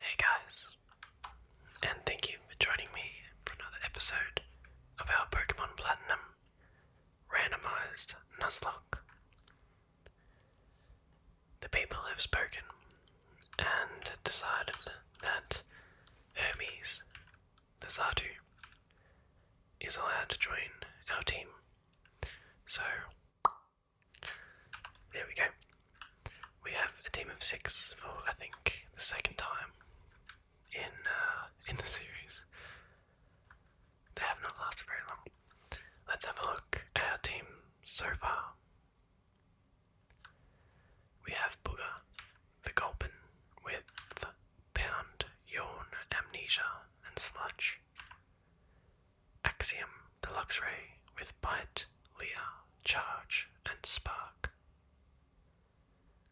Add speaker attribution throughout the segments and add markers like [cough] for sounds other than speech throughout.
Speaker 1: Hey guys, and thank you for joining me for another episode of our Pokemon Platinum Randomized Nuzlocke. The people have spoken and decided that Hermes, the Zatu, is allowed to join our team. So, there we go. We have a team of six for, I think, the second time in uh, in the series. They have not lasted very long. Let's have a look at our team so far. We have Booger, the Gulpin, with Pound, Yawn, Amnesia, and Sludge. Axiom, the Luxray, with Bite, Leer, Charge, and Spark.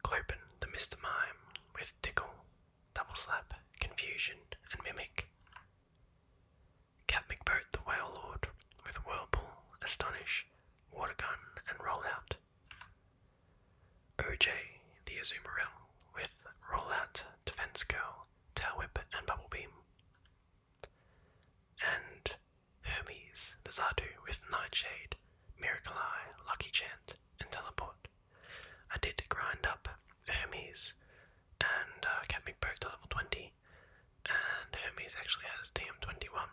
Speaker 1: Clopin, the Mr. Mime, with Tickle, Double Slap, Confusion, and Mimic. Cat McBoat the Whale Lord, with Whirlpool, Astonish, Water Gun, and Rollout. OJ the Azumarill, with Rollout, Defense Girl, Tail Whip, and Bubble Beam. And Hermes the Zardu, with Nightshade, Miracle Eye, Lucky Chant, and Teleport. I did grind up Hermes and uh, Cat McBoat to level 20 Hermes, and Hermes actually has TM21.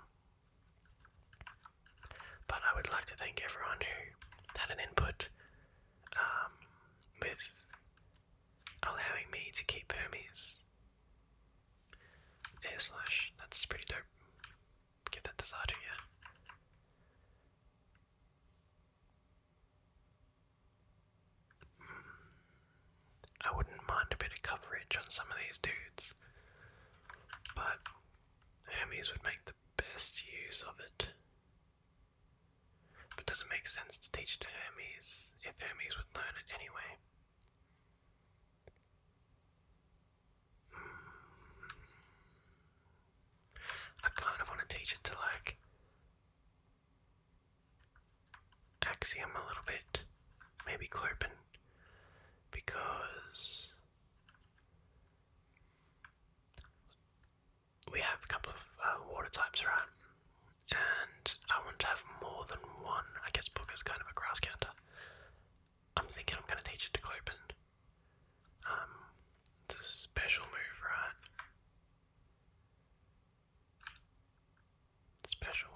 Speaker 1: But I would like to thank everyone who had an input um, with allowing me to keep Hermes. Air slash, that's pretty dope. Give that to Sardu, yeah. Hmm. I wouldn't mind a bit of coverage on some of these dudes, but Hermes would make the best use of it. But does it make sense to teach to Hermes if Hermes would learn it anyway? Hmm. I kind of want to teach it to like Axiom a little bit, maybe Clopin, because we have a couple of uh, water types, around, And I want to have more than one. I guess Booker's kind of a grass counter. I'm thinking I'm going to teach it to Clopin. Um, it's a special move, right? Special.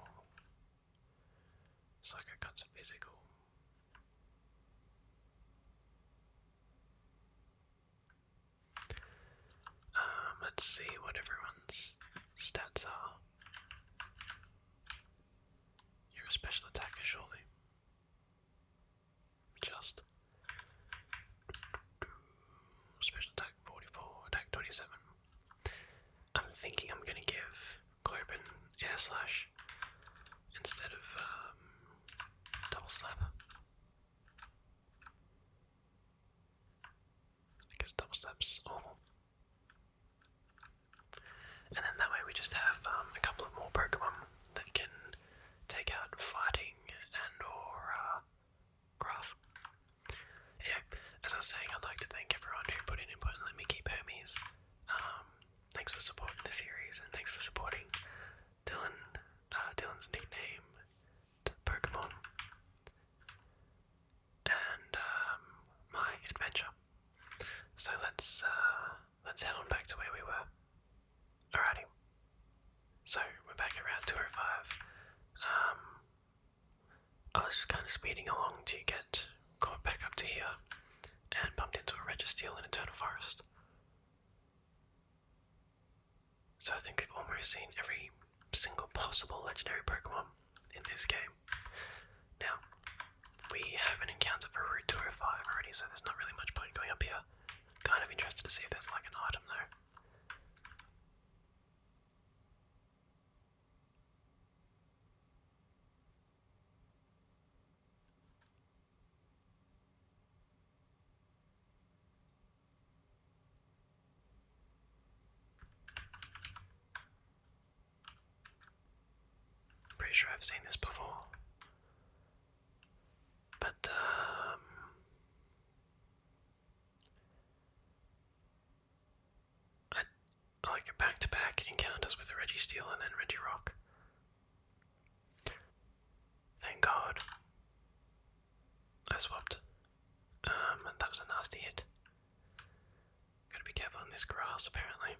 Speaker 1: Psycho cuts physical. Um, let's see what everyone's stats are. You're a special attacker, surely. Just special attack 44, attack 27. I'm thinking I'm gonna give Globin air slash instead of um, double slap. Because double slap's awful. And then that way we just have um, a couple of more Pokemon that can take out fighting and or uh, grass. Anyway, as I was saying, I'd like to thank everyone who put in input and let me keep Hermes. Um, thanks for supporting the series and thanks for supporting Dylan, uh, Dylan's nickname, Pokemon, and um, my adventure. So let's uh, let's head on back to where we were. Alrighty. So we're back around 205. Um, I was just kind of speeding along to get going back up to here and bumped into a Registeel in Eternal Forest. So I think we've almost seen every single possible legendary Pokemon in this game. Now, we have an encounter for Route 205 already, so there's not really much point going up here. Kind of interested to see if there's like an item though. I'm pretty sure I've seen this before. But, um, a, like a back-to-back encounters with Reggie Steel and then Reggie Rock. Thank God. I swapped. Um, that was a nasty hit. Gotta be careful in this grass, apparently.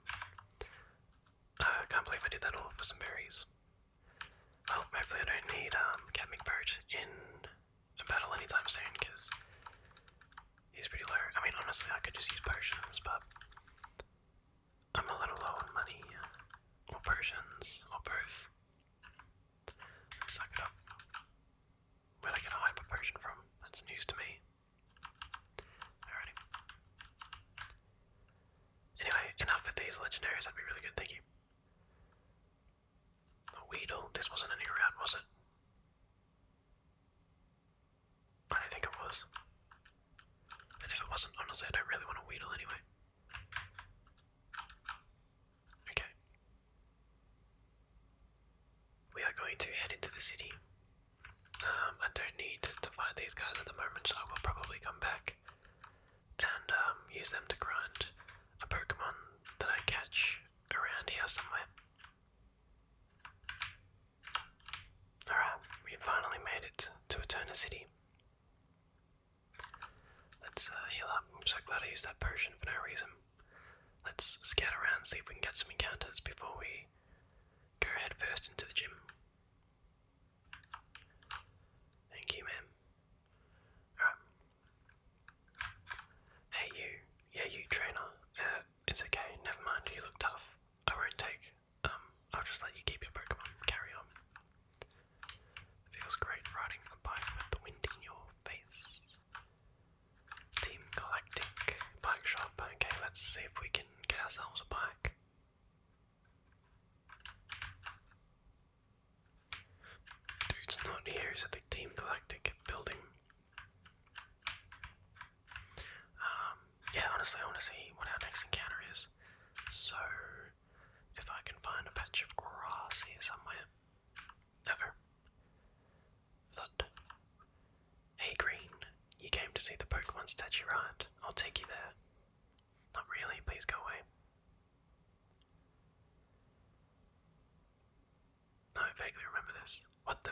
Speaker 1: Uh, I can't believe I did that all for some berries. Well, hopefully I don't need um, Cat McBoat in a battle anytime soon because he's pretty low. I mean, honestly, I could just use potions, but I'm a little low on money uh, or potions or both. suck it up. where do I get a hyper potion from? That's news to me. Alrighty. Anyway, enough with these legendaries, that'd be really good, thank you. A Weedle, this wasn't a route, was it? I don't think it was. And if it wasn't, honestly, I don't really want to wheedle anyway. Okay. We are going to head into the city. Um, I don't need to fight these guys at the moment, so I will probably come back and um, use them to grind a Pokemon that I catch around here somewhere. Alright, we finally made it to Eterna City. Let's uh, heal up. I'm so glad I used that potion for no reason. Let's scout around, see if we can get some encounters before we go head first into the gym. Thank you, ma'am. Alright. Hey, you. Yeah, you, trainer. Uh, it's okay, never mind, you look tough. I won't take, um, I'll just let you keep your Pokemon, carry on. feels great riding a bike with the wind in your face. Team Galactic Bike Shop, okay, let's see if we can get ourselves a bike. Dude's not here, he's at the Team Galactic building. Um, yeah, honestly, I want to see what our next encounter is. So, if I can find a patch of grass here somewhere. Uh oh. Hey, Green. You came to see the Pokemon statue, right? I'll take you there. Not really, please go away. I vaguely remember this. What the?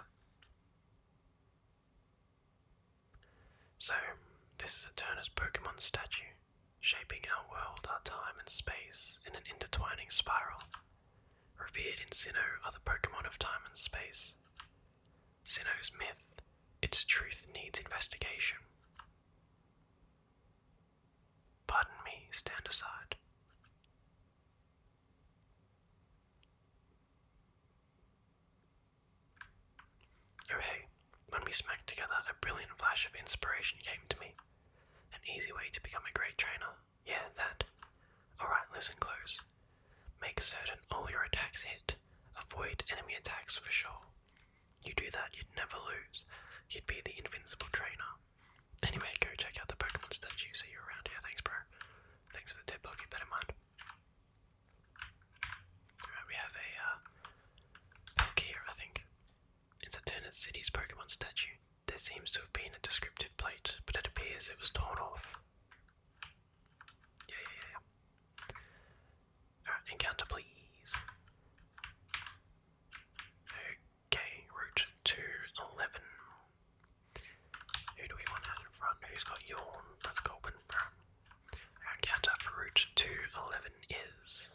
Speaker 1: So, this is a Turner's Pokemon statue, shaping our world, our time, and space in an intertwining spiral. Revered in Sinnoh are the Pokemon of time and space. Sinnoh's myth, its truth needs investigation. Pardon me, stand aside. Oh when we smacked together, a brilliant flash of inspiration came to me. An easy way to become a great trainer. Yeah, that. Alright, listen close. Make certain all your attacks hit. Avoid enemy attacks for sure. You do that, you'd never lose. You'd be the invincible trainer. Anyway, go check out the Pokemon statue. See you around here. Thanks, bro. Thanks for the tip, I'll keep that in mind. Alright, we have a uh, Palkia, I think. It's a Turnit City's Pokemon statue. There seems to have been a descriptive plate, but it appears it was torn off. Yeah, yeah, yeah. yeah. encounter please. Okay, route to who do we want out in front? Who's got yawn? That's Colbin. Our counter for route 211 is.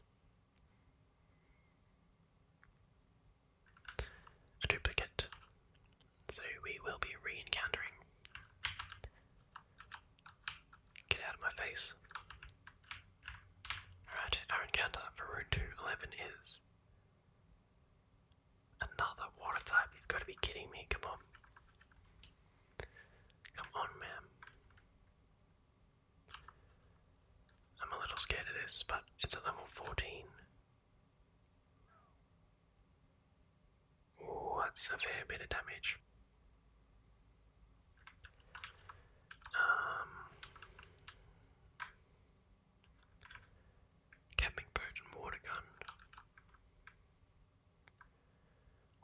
Speaker 1: A duplicate. So we will be re Get out of my face. Alright, our encounter for route 211 is. Another water type? You've got to be kidding me. Come on. Come on, man. I'm a little scared of this, but it's at level 14. that's a fair bit of damage. Um, Camping boat water gun.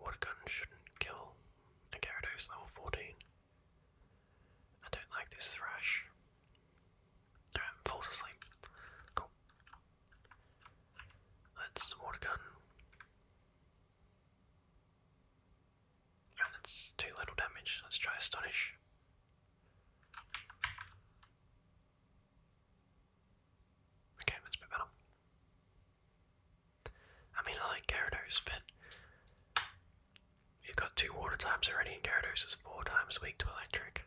Speaker 1: Water gun shouldn't kill a Gyarados level 14. I don't like this thrash. falls asleep. Cool. let water gun. And that's too little damage. Let's try astonish. Okay, that's a bit better. I mean, I like Gyarados, but you've got two water types already, and Gyarados is four times weak to electric.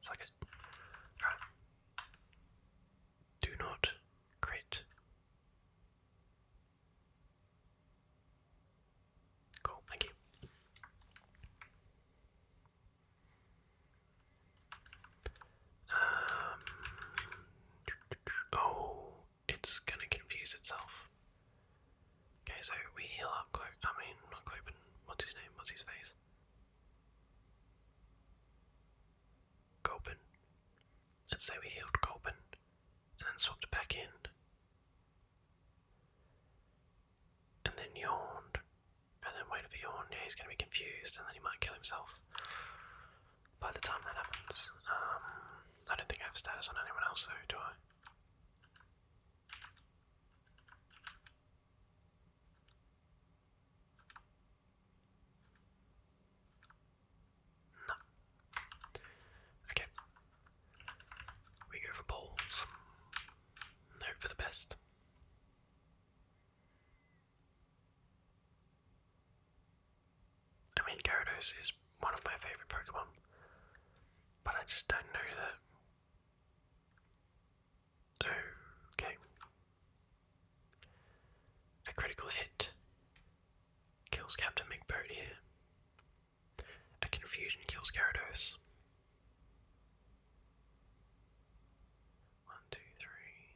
Speaker 1: Suck Do not crit. Cool, thank you. Um, oh, it's gonna confuse itself. Okay, so we heal up Clo I mean, not Clopen, what's his name, what's his face? Colpin. Let's say we healed Colpin and then swapped back in, and then yawned, and then waited for yawn. Yeah, he's going to be confused, and then he might kill himself. By the time that happens, um, I don't think I have status on anyone else, though, do I? No. Okay. We go for balls. Hope for the best. I mean, Gyarados is one of my favourite Pokemon, but I just don't know that. Okay. A critical hit. Kills Captain Big here. A confusion kills Gyarados. One, two, three.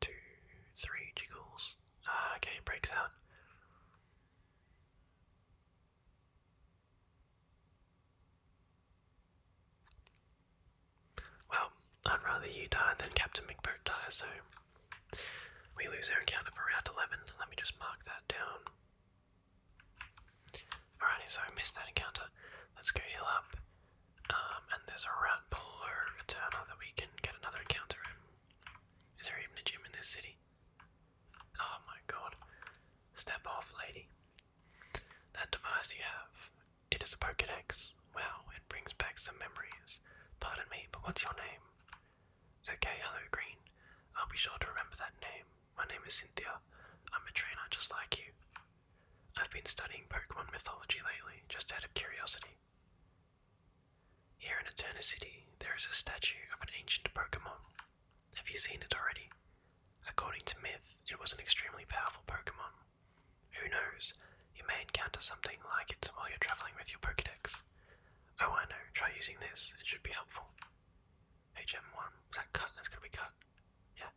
Speaker 1: Two, three jiggles. Ah, okay, breaks out. Well, I'd rather you die than Captain McBoat die, so we lose our encounter for round 11. Let me just mark that down. Alrighty, so I missed that encounter. Let's go heal up. Um, and there's a route below Eterna that we can get another encounter in. Is there even a gym in this city? Oh my god. Step off, lady. That device you have, it is a Pokedex. Wow, it brings back some memories. Pardon me, but what's your name? Okay, hello, Green. I'll be sure to remember that name. My name is Cynthia. I'm a trainer just like you. I've been studying Pokemon mythology lately, just out of curiosity. Here in Eterna City, there is a statue of an ancient Pokemon. Have you seen it already? According to myth, it was an extremely powerful Pokemon. Who knows? You may encounter something like it while you're traveling with your Pokedex. Oh, I know. Try using this. It should be helpful. HM1. Is that cut? That's gonna be cut. Yeah.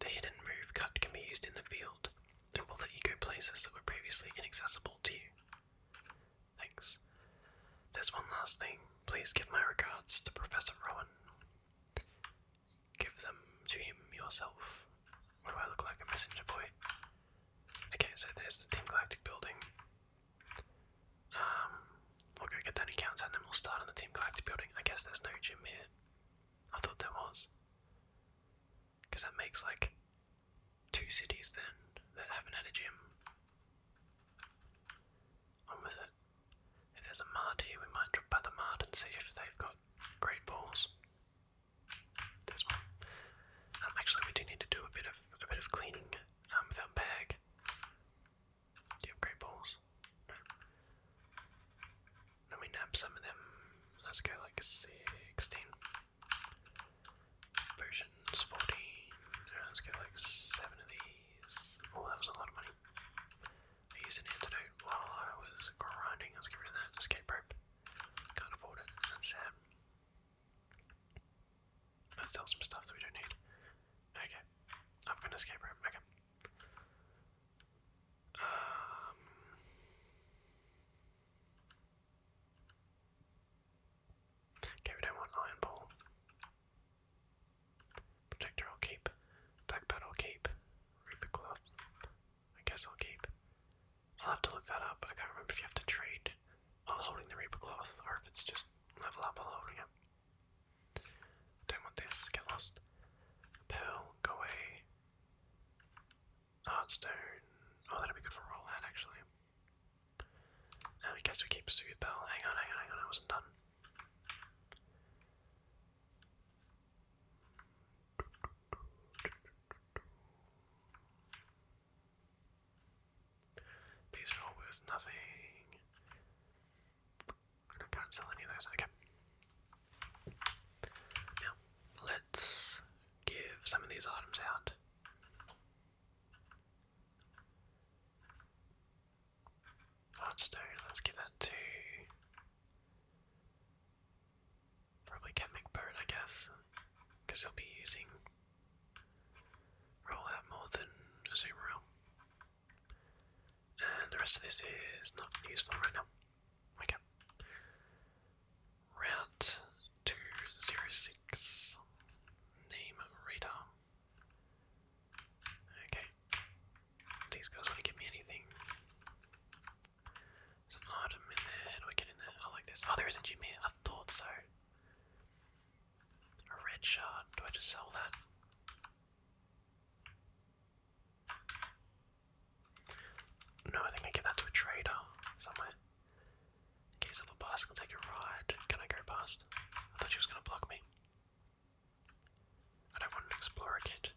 Speaker 1: The hidden move cut can be used in the field, and will let you go places that were previously inaccessible to you. Thanks. There's one last thing. Please give my regards to Professor Rowan. Give them to him yourself. What do I look like, a messenger boy? Okay, so there's the Team Galactic building. Um, we'll go get that encounter and then we'll start on the Team Galactic building. I guess there's no gym here. I thought there was. Because that makes like two cities then that haven't had a gym. On with it. If there's a mart here, we might drop by the mart and see if they've got great balls. There's one. Um, actually, we do need to do a bit of a bit of cleaning um, with our bag. Do you have great balls? Let me nab some of them. Let's go like sixteen. Potions, 14. Let's get like 7 of these. Oh, that was a lot of money. I used an antidote while I was grinding. Let's get that. Escape rope. Can't afford it. That's sad. Let's sell some stuff that we don't need. Okay. I've got an escape rope. Okay. Um. Okay, we don't want Iron Ball. Protector I'll keep. Backpad I'll keep. Reaper Cloth, I guess I'll keep. I'll have to look that up. I can't remember if you have to trade while holding the Reaper Cloth or if it's just level up while holding it. Don't want this, get lost. Pearl, go away. Heartstone. Oh, that'd be good for roll out actually. And I guess we keep Sweet Bell. Hang on, hang on, hang on, I wasn't done. These are all nothing. I can't sell any of those, okay. Now, let's give some of these items out. Hearthstone, let's give that to. Probably can make I guess, because he'll be using roll out more than a And the rest of this is not useful right now. Okay. Route 206. Name radar. Okay. These guys won't give me anything. There's item in there. do I get in there? I like this. Oh, there is a gym here. I thought so. A red shard. Do I just sell that? No, I think I give that to a trader somewhere. In case of a bus, I'll take a ride. Can I go past? I thought she was gonna block me. I don't want an explorer kid.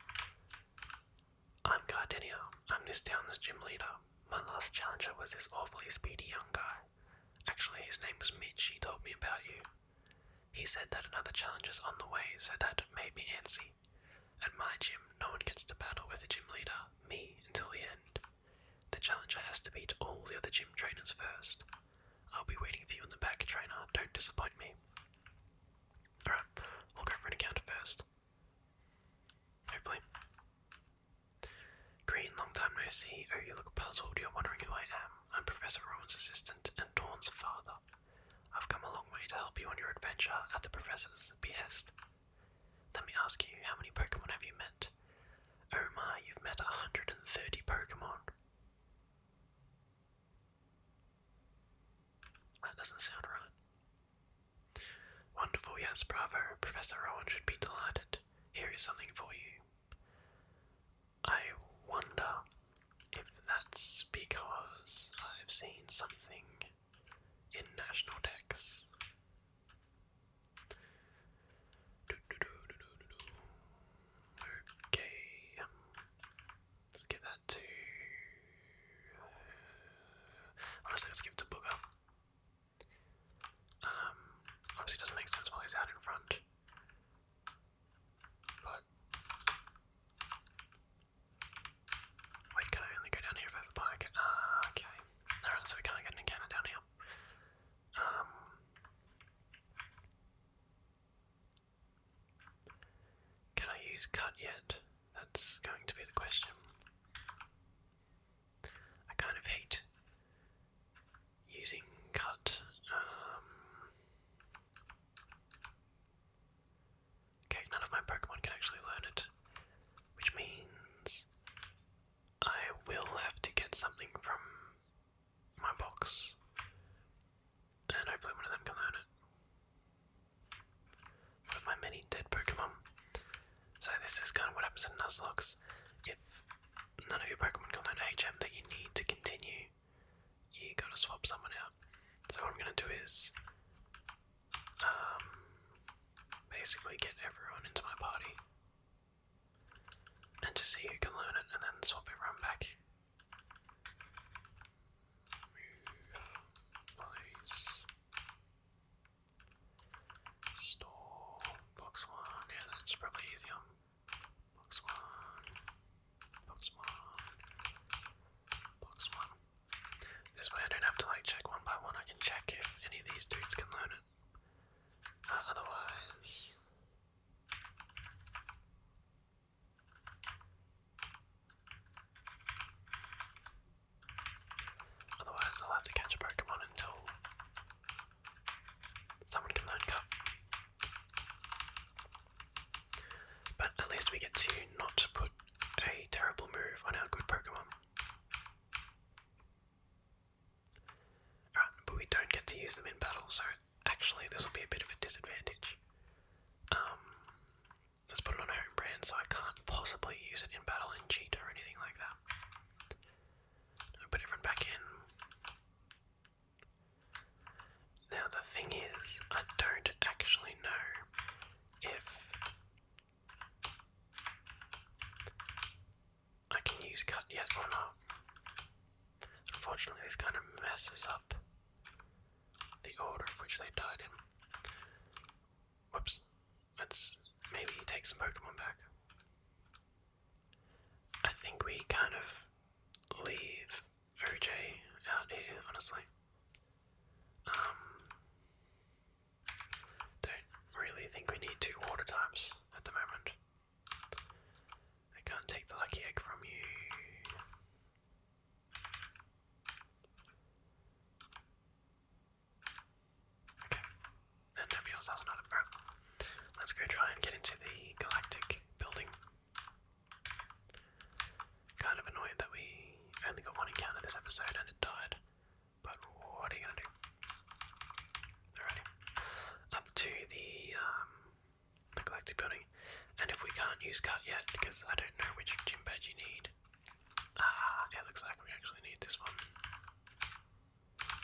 Speaker 1: I'm Gardenia. I'm this town's gym leader. My last challenger was this awfully speedy young guy. Actually, his name was Mitch. He told me about you. He said that another challenger's on the way, so that made me antsy. At my gym, no one gets to battle with the gym leader, me, until the end. The challenger has to beat all the other gym trainers first. I'll be waiting for you in the back, trainer. Don't disappoint me. Alright, I'll go for an encounter first. Hopefully. Green, long time no see. Oh, you look puzzled. You're wondering who I am. I'm Professor Rowan's assistant and Dawn's father. I've come a long way to help you on your adventure at the Professor's behest. Let me ask you, how many Pokemon have you met? Oh my, you've met 130 Pokemon. That doesn't sound right. Wonderful, yes, bravo. Professor Rowan should be delighted. Here is something for you. I wonder if that's because I've seen something in National Dex do, Okay. Let's give that to. Uh, honestly, let's give it to Booger. Um, obviously, doesn't make sense while he's out in front. But. Wait, can I only go down here if I bike? Ah, okay. Alright, so we can't get an encounter down here. Um, can I use cut yet? That's going to be the question. I kind of hate using cut. Um, okay, none of my Pokemon can actually learn it, which means I will have to get something from my box. And hopefully one of them can learn it. With my many dead Pokemon. So this is kind of what happens in Nuzlocks. If none of your Pokemon can learn HM that you need to continue, you gotta swap someone out. So what I'm gonna do is um basically get everyone into my party and just see who can learn it and then swap everyone back. Move, place, store, box one, yeah that's probably easier. Box one, box one, box one. This way I don't have to like check one by one, I can check if any of these dudes can learn it. Uh, otherwise, otherwise I'll have to catch a Pokemon until someone can learn Cup. But at least we get to not put a terrible move on our good Pokemon. Right, but we don't get to use them in battle, so actually this will be a bit of a disadvantage. Um, let's put on our own brand, so I can't possibly use it in battle and cheat or anything like that. i put everyone back in. Now the thing is, I don't actually know if I can use cut yet or not. Unfortunately, this kind of messes up the order of which they died in. Whoops. Let's maybe take some Pokemon back. I think we kind of leave OJ out here, honestly. Um, don't really think we need two water types at the moment. I can't take the lucky egg from you. Okay, and nobody else has an item. let's go try and get into the galactic building. Kind of annoyed that we only got one encounter this episode and it died, but what are you gonna do? Up to the um the Galactic Building. And if we can't use cut yet, because I don't know which gym badge you need. Ah, it looks like we actually need this one.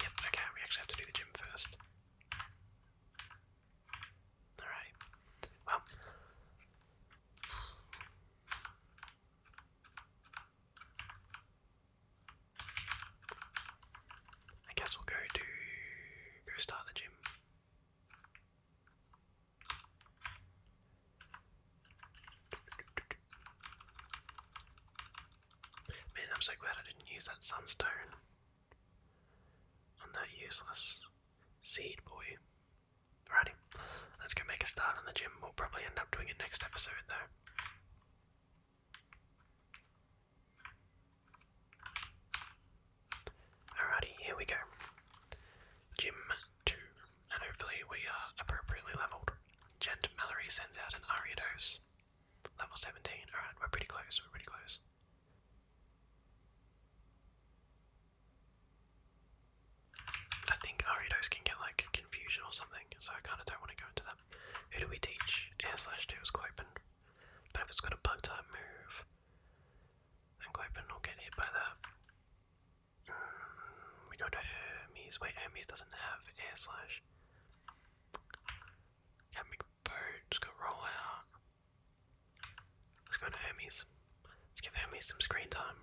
Speaker 1: Yep, okay, we actually have to do the gym first. Alrighty. Well I guess we'll go to go start the gym. Man, I'm so glad I didn't use that sunstone on that useless seed boy. Alrighty, let's go make a start on the gym. We'll probably end up doing it next episode though. Alrighty, here we go. Gym 2, and hopefully we are appropriately leveled. Gent Mallory sends out an Ariados. Level 17, alright, we're pretty close, we're pretty close. I think Ariados can get like confusion or something, so I kinda don't want to go into that. Who do we teach? Air slash two is Clopen. But if it's got a bug type move, then Clopen will get hit by that. Mm, we go to Hermes. Wait, Hermes doesn't have air slash. Can't make a boat, just got roll out. Let's go to Hermes. Let's give Hermes some screen time.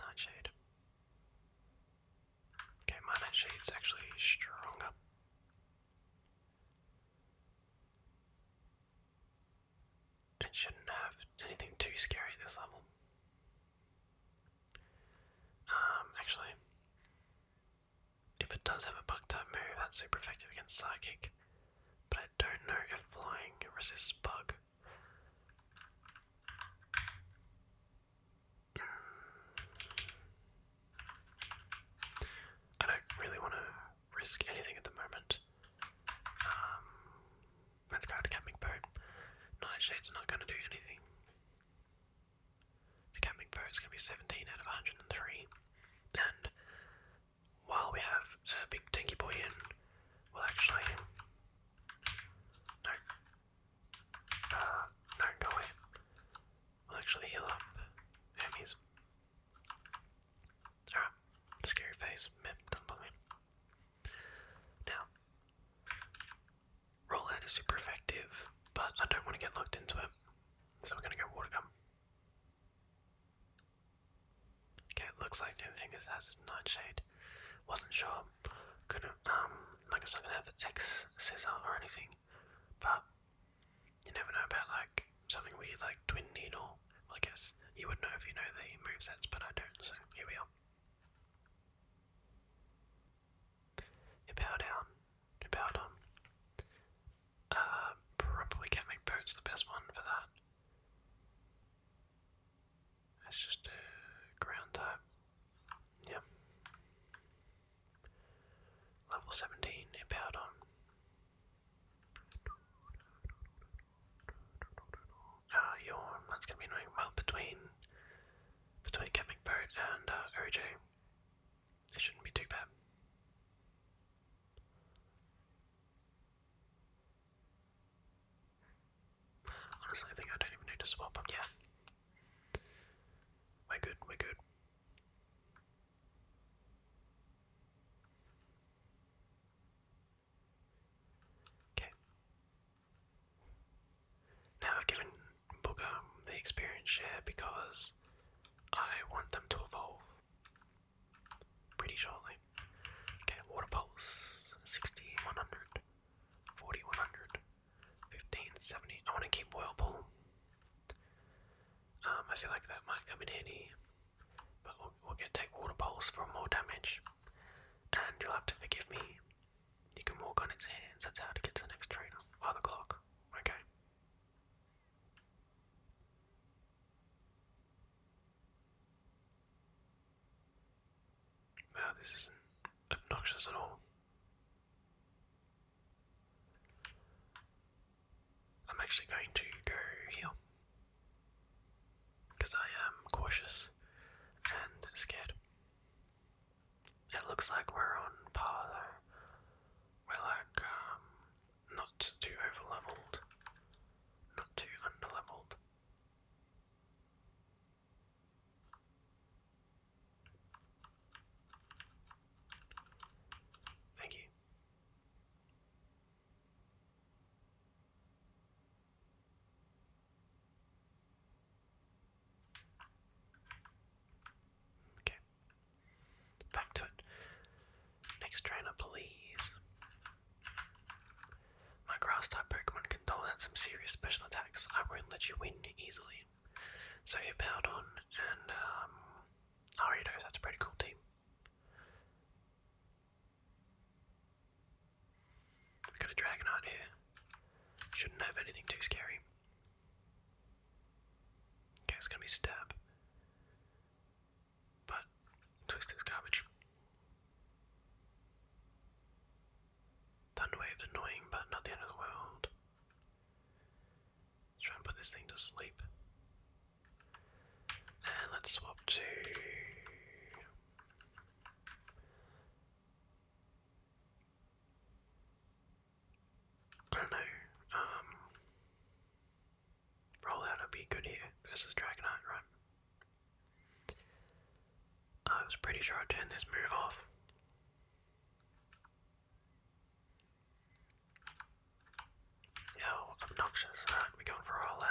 Speaker 1: Nightshade. Okay, my nightshade's actually stronger. It shouldn't have anything too scary this level. Um, actually, if it does have a bug type move, that's super effective against Psychic, but I don't know if flying resists bug. I don't really want to risk anything at the moment. Um, let's go to Camping Boat. Nightshade's not going to do anything. The Camping Boat's going to be 17 out of 103. And while we have a big tanky boy in, we actually. No, uh, no, will actually heal up. Hermes. Alright. Scary face. Meh, doesn't bother me. Now, Rollout is super effective, but I don't want to get locked into it. So we're gonna go water gum. Okay, it looks like the only thing this has nightshade. Wasn't sure, not um like it's not gonna have X scissor or anything, but you never know about like something weird like twin needle. I guess you would know if you know the movesets, but I don't, so here we are. You bow down, you bow down. Uh, probably can't the best one for that. That's just a uh, ground type. Yeah. Level 17, empowered on. Ah, uh, yawn. gonna be annoying. Well, between between Capmic and uh, it shouldn't be too bad. Honestly, I think I don't even need to swap them. Yeah. We're good, we're good. Okay. Now I've given Booger the experience share because I want them to evolve pretty shortly. Okay, water pulse 60, 4100, I want to keep Whirlpool. Um, I feel like that might come in handy, but we'll get take water poles for more damage. And you'll have to forgive me. You can walk on its hands. That's how to get to the next trainer. Oh, the clock. Okay. Wow, this isn't obnoxious at all. I'm actually going to go here because I am cautious and scared. It looks like we're on par though. We're like um, not too over leveled, not too under leveled. Thank you. Okay. Back to it. Next trainer, please. My grass-type Pokemon can dominate some serious special attacks. I won't let you win easily. So you on. and um, Aridos, that's a pretty cool team. We've got a Dragonite here. Shouldn't have anything too scary. Okay, it's gonna be Stab. But, Twister's garbage. Thunderwave's annoying, but not the end of the world. Let's put this thing to sleep. And let's swap to. I don't know. Um, Rollout would be good here versus Dragonite, right? I was pretty sure I turned this move off. How obnoxious. Alright, we're going for a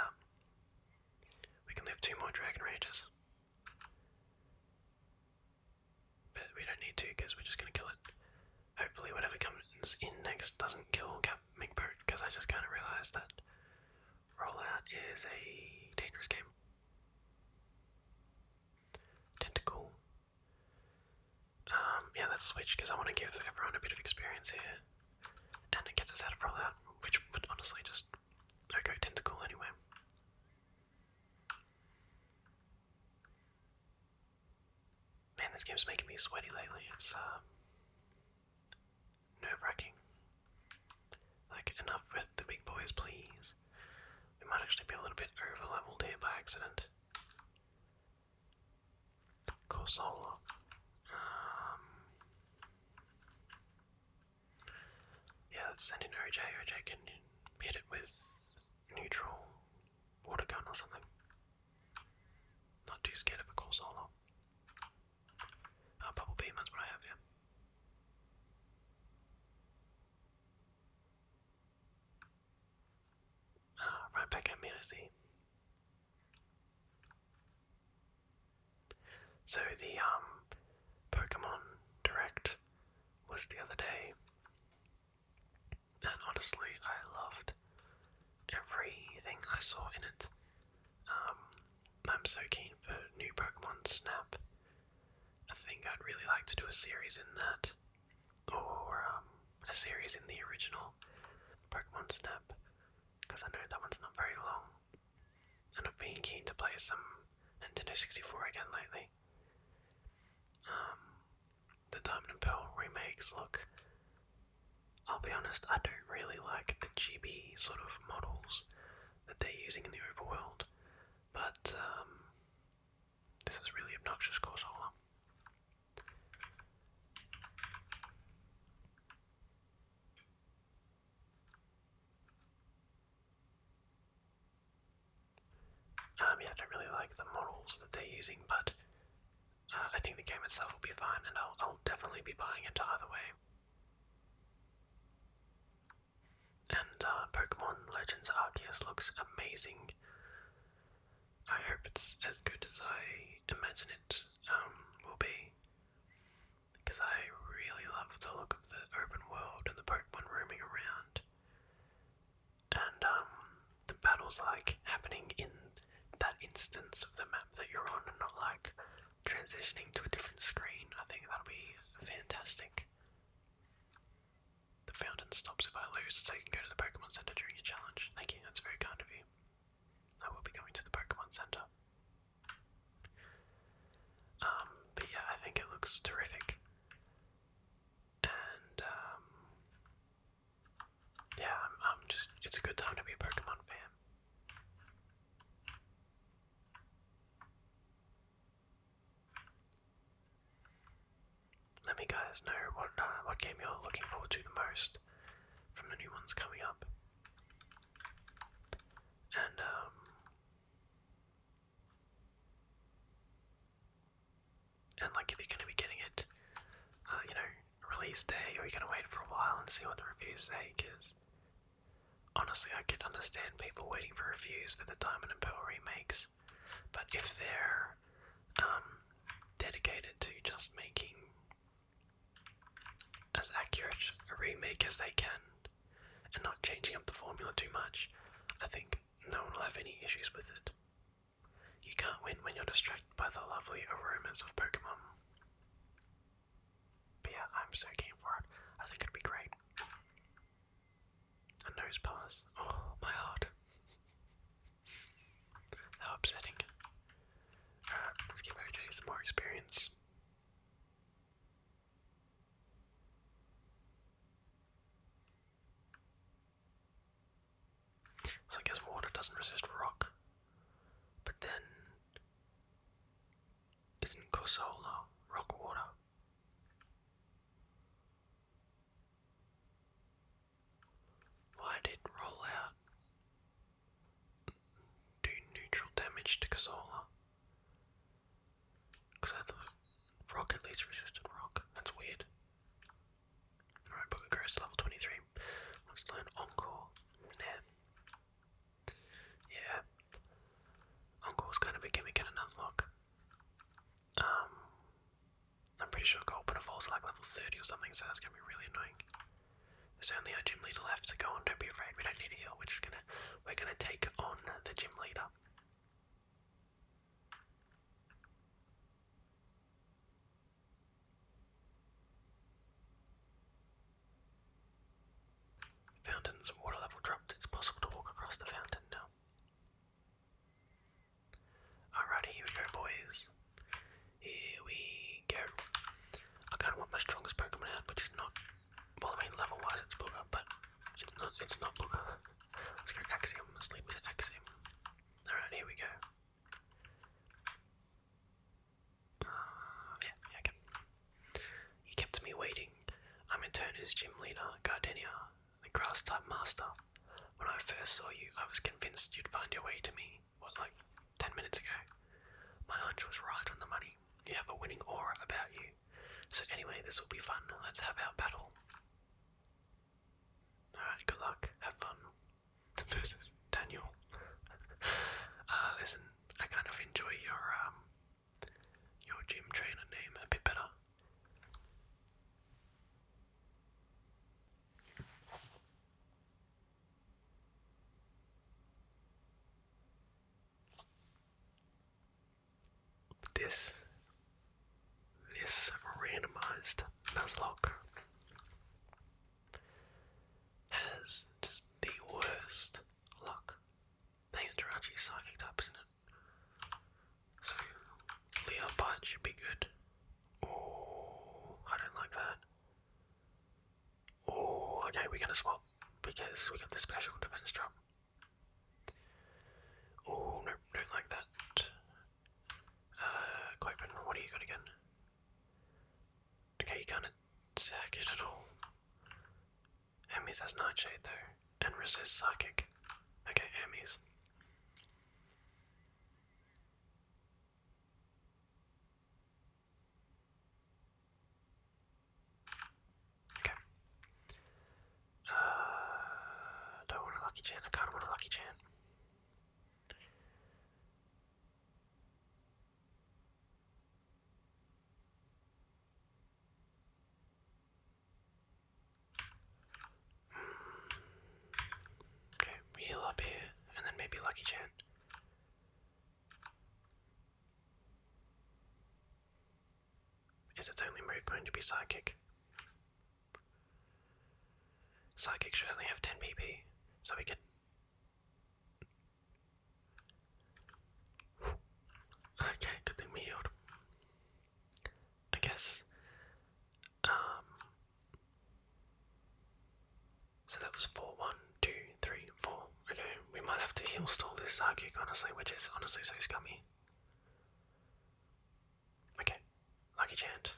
Speaker 1: We can live two more Dragon Rages. But we don't need to because we're just going to kill it. Hopefully, whatever comes in next doesn't kill Cap McBoat because I just kind of realised that Rollout is a dangerous game. Tentacle. Um, yeah, let's switch because I want to give everyone a bit of experience here. And it gets us out of rollout, which would honestly just go tentacle anyway. Man, this game's making me sweaty lately. It's um, nerve wracking. Like, enough with the big boys, please. We might actually be a little bit over leveled here by accident. Corsola. Um. Yeah, let's can hit it with neutral water gun or something. Not too scared of a Corsola. Uh, Bubble Beam, that's what I have, yeah right back at me, So the um, Pokemon Direct was the other day, and honestly, I loved everything I saw in it. Um, I'm so keen for new Pokemon Snap I think I'd really like to do a series in that, or um, a series in the original Pokemon Snap, because I know that one's not very long, and I've been keen to play some Nintendo 64 again lately. Um, the Diamond and Pearl remakes look. I'll be honest, I don't really like the GB sort of models that they're using in the overworld. But um, this is really obnoxious, Cause, Um, yeah, I don't really like the models that they're using, but uh, I think the game itself will be fine, and I'll definitely be buying it either way. And uh, Pokemon Legends Arceus looks amazing. I hope it's as good as I imagine it um, will be. Because I really love the look of the open world and the Pokemon roaming around. And um, the battles like happening in that instance of the map that you're on, and not like transitioning to a different screen. I think that'll be fantastic. The fountain stops if I lose, so you can go to the Pokemon Center during your challenge. Thank you, that's very kind of you. I will be going to the Pokemon Center. Um, but yeah, I think it looks terrific. And, um, yeah, I'm, I'm just, it's a good time to be a Pokemon fan. Let me guys know what uh, what game you're looking forward to the most from the new ones coming up. And um, and like if you're gonna be getting it, uh, you know, release day, or you're gonna wait for a while and see what the reviews say, because Honestly, I can understand people waiting for reviews for the Diamond and Pearl remakes, but if they're um, dedicated to just making as accurate a remake as they can and not changing up the formula too much, I think no one will have any issues with it. You can't win when you're distracted by the lovely aromas of Pokemon yeah, I'm so keen for it. I think it'd be great. A nose pass. Oh, my heart. [laughs] How upsetting. let's give OJ some more experience. So I guess water doesn't resist rock. But then isn't Corsola rock water? Why did roll out do neutral damage to Casola? Because rock at least resisted rock. That's weird. Alright, Booker goes to level 23. Let's learn Encore. Nah. Yeah. Uncle was kind of a gimmick in an unlock. Um, I'm pretty sure Goldpinner falls like level 30 or something, so that's going to be really annoying. There's only our gym leader left to go on, don't be afraid, we don't need a heal, we're just going to, we're going to take on the gym leader. Fountain's water level dropped. It's possible to walk across the fountain now. Alrighty, here we go, boys. Here we go. I kind of want my strongest Pokemon out, which is not. Well, I mean, level-wise, it's Booger, but it's not. It's not Booger. [laughs] Let's go Axiom. Let's leave with an Axiom. Alright, here we go. Uh, yeah, yeah, you kept me waiting. I'm a turner's his gym leader, Gardenia, the grass type master. When I first saw you, I was convinced you'd find your way to me, what, like 10 minutes ago? My hunch was right on the money. You have a winning aura about you. So, anyway, this will be fun. Let's have our battle. Alright, good luck. Have fun. [laughs] Versus Daniel. [laughs] Uh, listen, I kind of enjoy your um, your gym trainer name a bit better. This this randomized Nuzlocke has just the worst luck they are actually psychic types, isn't it? So, Leopard should be good. Oh, I don't like that. Oh, okay, we're gonna swap because we got the special defense drop. Oh, no, don't like that. Uh, Clopen, what do you got again? Okay, you can't attack it at all. Emmy's has Nightshade there, and resists Psychic. Okay, Emmy's. Okay. Uh, don't want a lucky chant. I kind of want a lucky chant. Okay, heal up here, and then maybe Lucky Chan. Is its only move going to be Psychic? Psychic should only have 10 BP, so we could Okay, good thing we I guess. Um, so that was four, one, two, three, four. Okay, we might have to heal stall this side kick, honestly, which is honestly so scummy. Okay, lucky chance.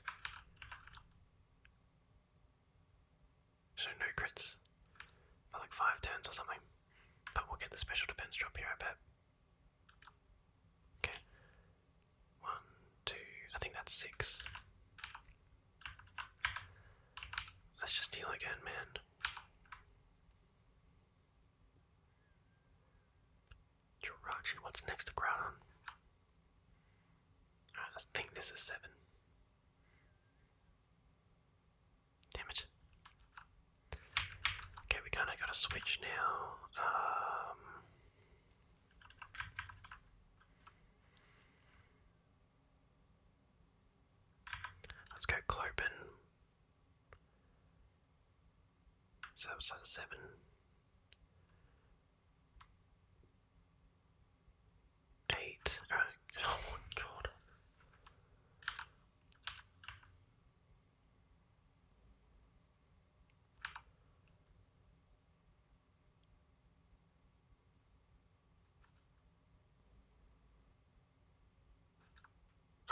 Speaker 1: So no crits for like five turns or something. But we'll get the special defense drop here, I bet. Okay. One, two, I think that's six. Let's just deal again, man. Jirachi, what's next to Groudon? I think this is seven. Damn it. Okay, we kinda gotta switch now. Um, let's go Clopen. So it's at seven. Eight. oh, [laughs] oh my god.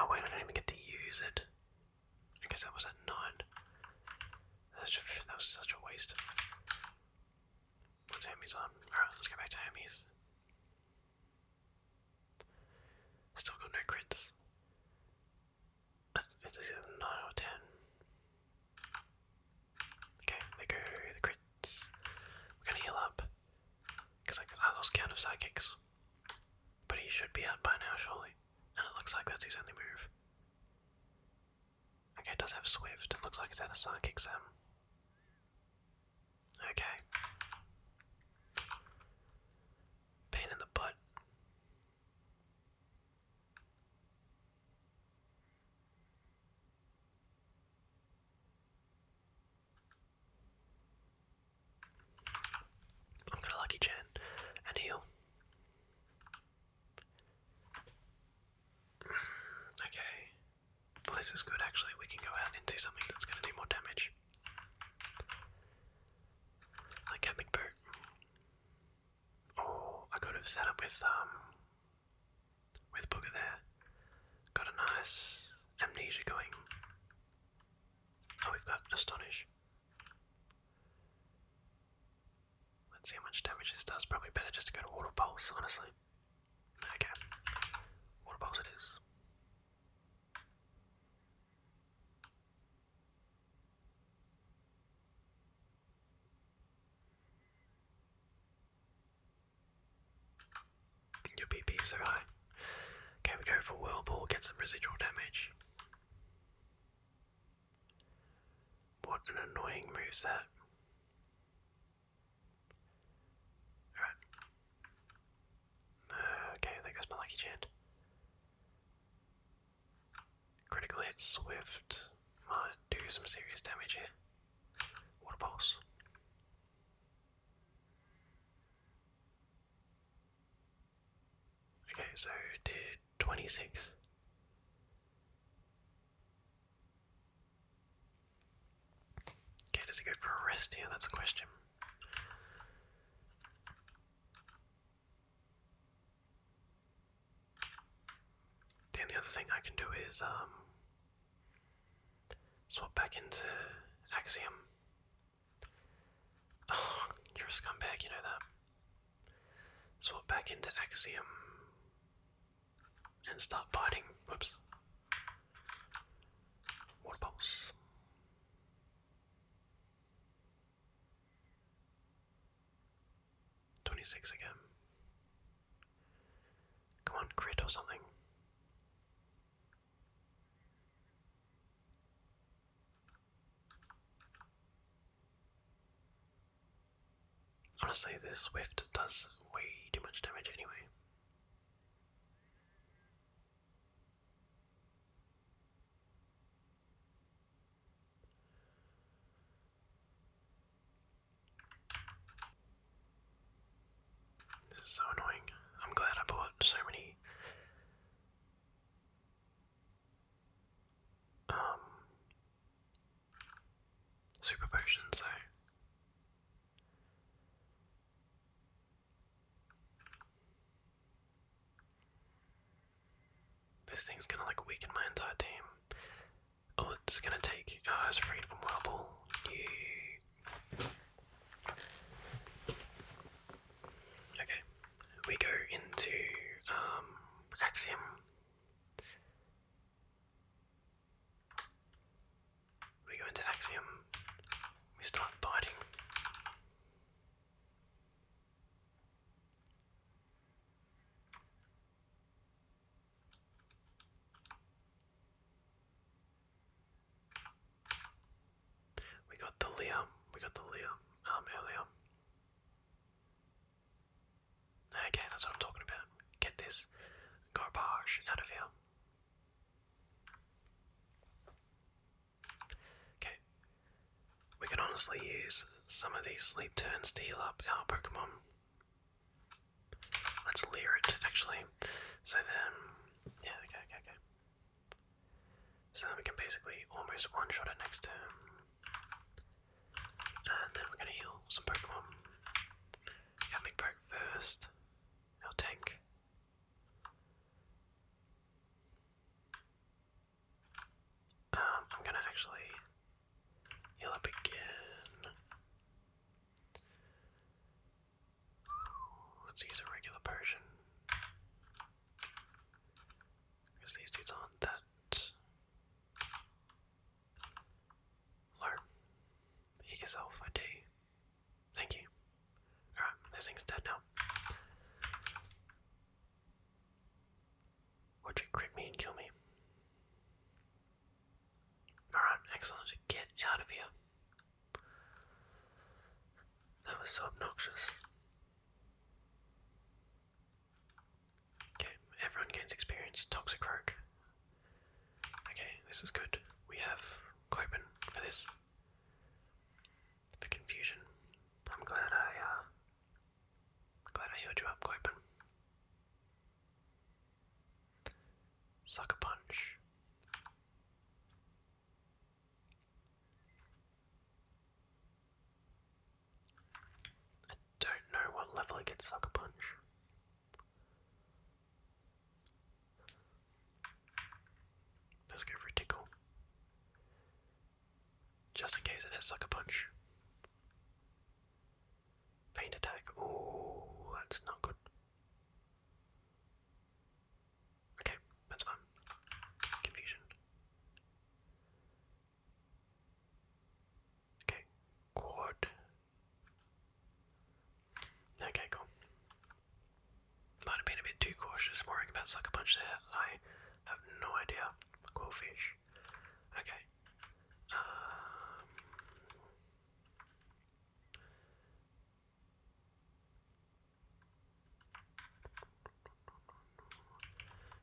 Speaker 1: Oh wait, I didn't even get to use it. I guess that was at nine. that was such a waste. What's Hermes on? Alright, let's go back to Hermes. Still got no crits. This is a 9 or 10. Okay, there go the crits. We're gonna heal up. Because I, I lost count of psychics. But he should be out by now, surely. And it looks like that's his only move. Okay, it does have Swift. looks like it's out of Psychic Sam. Okay. Pain in the butt. I'm gonna lucky chin and heal. [sighs] okay. Well, this is good actually. We can go out into something that's gonna do more damage. I get McBoot. Oh, I could have set up with um with Booger there. Got a nice amnesia going. Oh, we've got Astonish. Let's see how much damage this does. Probably better just to go to Water Pulse, honestly. Okay. Water Pulse it is. Your BP's are high. Okay, we go for Whirlpool, get some residual damage. What an annoying moveset. Alright. Okay, there goes my lucky chin. Critical hit, swift. Might do some serious damage here. Water pulse. Okay, so did 26. Okay, does it go for a rest here? That's a question. And the other thing I can do is um, swap back into Axiom. [sighs] you're a scumbag, you know that. Swap back into Axiom and start biting. Whoops. Water pulse. 26 again. Come on, crit or something. Honestly, this Swift does way too much damage anyway. This is so annoying. I'm glad I bought so many um, super potions though. This thing's gonna like weaken my entire team. Oh, it's gonna take. Oh, it's from Whirlpool. Okay, we go into um, Axiom. We go into Axiom, we start biting. We got the Leah, we got the Leah um, earlier. Okay, that's what I'm talking about. Get this garbage out of here. Okay. We can honestly use some of these sleep turns to heal up our Pokemon. Let's leer it, actually. So then, yeah, okay, okay, okay. So then we can basically almost one-shot it next turn. And then we're gonna heal some Pokemon. Got Mick Poke first. tank. Um, I'm gonna actually heal up again. Let's use a regular potion. these dudes aren't that low. Hit yourself, I do. Thank you. Alright, this thing's dead now. Would you crit me and kill me? Alright, excellent. Get out of here. That was so obnoxious. Okay, everyone gains experience. Toxicroak. Okay, this is good. We have Clopen for this the confusion. I'm glad I uh glad I healed you up, Copen. Sucker punch. I don't know what level it gets sucker punch. Let's go for tickle. Just in case it has sucker punch. Faint attack. Oh, that's not good. Okay, that's fine. Confusion. Okay, quad. Okay, cool. Might have been a bit too cautious worrying about Sucker Punch there. I have no idea. Cool fish. Okay. Um,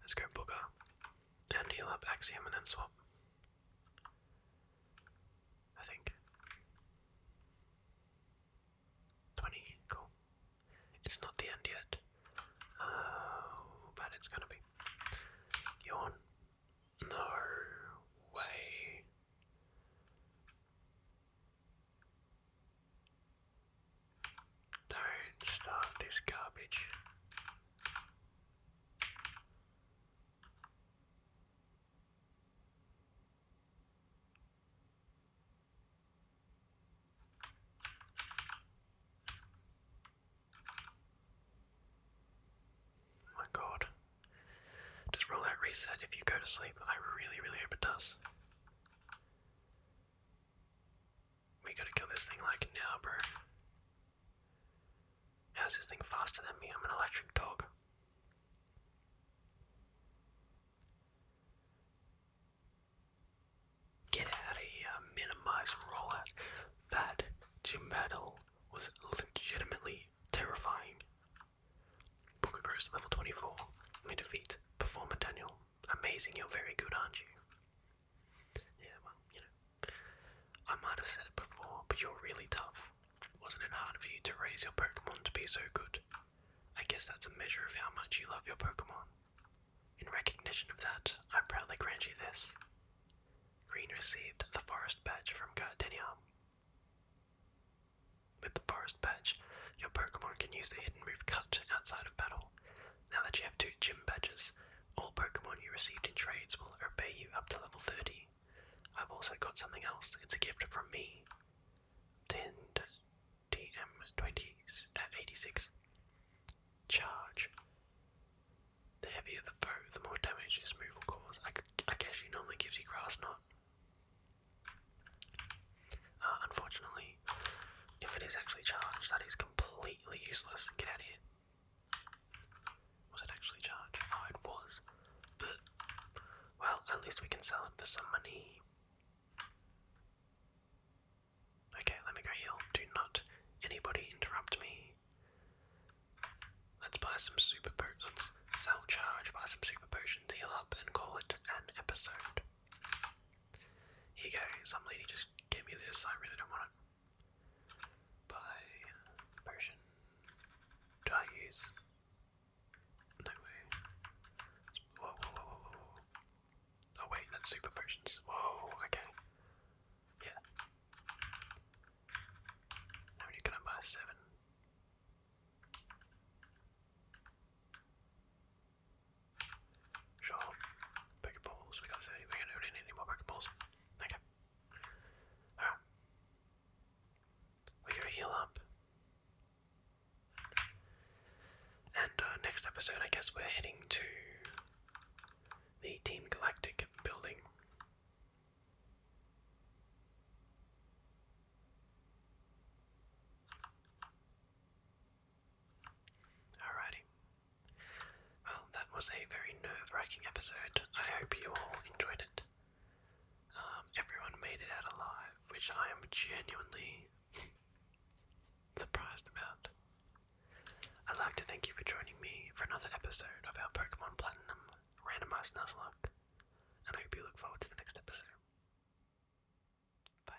Speaker 1: let's go Booger and heal up Axiom and then swap. I think. Twenty, cool. It's not the end yet. Oh, but it's gonna be. Yawn. No way. Don't start this garbage. Oh my god. Does rollout reset if you go to sleep? I really, really hope it does. We gotta kill this thing like now, bro. How's this thing faster than me? I'm an electric dog. Get out of here, minimize rollout. That gym battle was legitimately terrifying. Booker Gross, level 24. I mean, defeat. Performer Daniel. Amazing, you're very good, aren't you? Yeah, well, you know. I might have said it before, but you're really tough. Wasn't it hard for you to raise your Pokemon to be so good? I guess that's a measure of how much you love your Pokemon. In recognition of that, I proudly grant you this. Green received the Forest Badge from Gardenia. With the Forest Badge, your Pokemon can use the hidden move Cut outside of battle. Now that you have two Gym Badges, all Pokemon you received in trades will obey you up to level 30. I've also got something else, it's a gift from me. 10, TM86. Uh, Charge. The heavier the foe, the more damage this move will cause. I, guess she normally gives you grass knot. Uh, unfortunately, if it is actually charged, that is completely useless. Get out of here. Was it actually charged? Oh, it was. Well, at least we can sell it for some money. Okay, let me go heal. Do not anybody interrupt me. Let's buy some super potions. sell charge, buy some super potions, heal up, and call it an episode. Here you Some lady just gave me this. I really don't want it. Buy potion. Do I use? No way. Oh wait, that's super potions. Whoa, okay. Yeah. How many can I buy? Seven. Sure. Pokeballs. We got thirty. We don't need any more Pokeballs. Okay. Alright we go heal up. And uh, next episode, I guess we're heading to the Team Galactic building. Alrighty. Well, that was a very nerve wracking episode. I hope you all enjoyed it. Um, everyone made it out alive, which I am genuinely [laughs] surprised about. I'd like to thank you for joining me for another episode of our Pokemon Platinum Randomized Nuzlocke, and I hope you look forward to the next episode. Bye.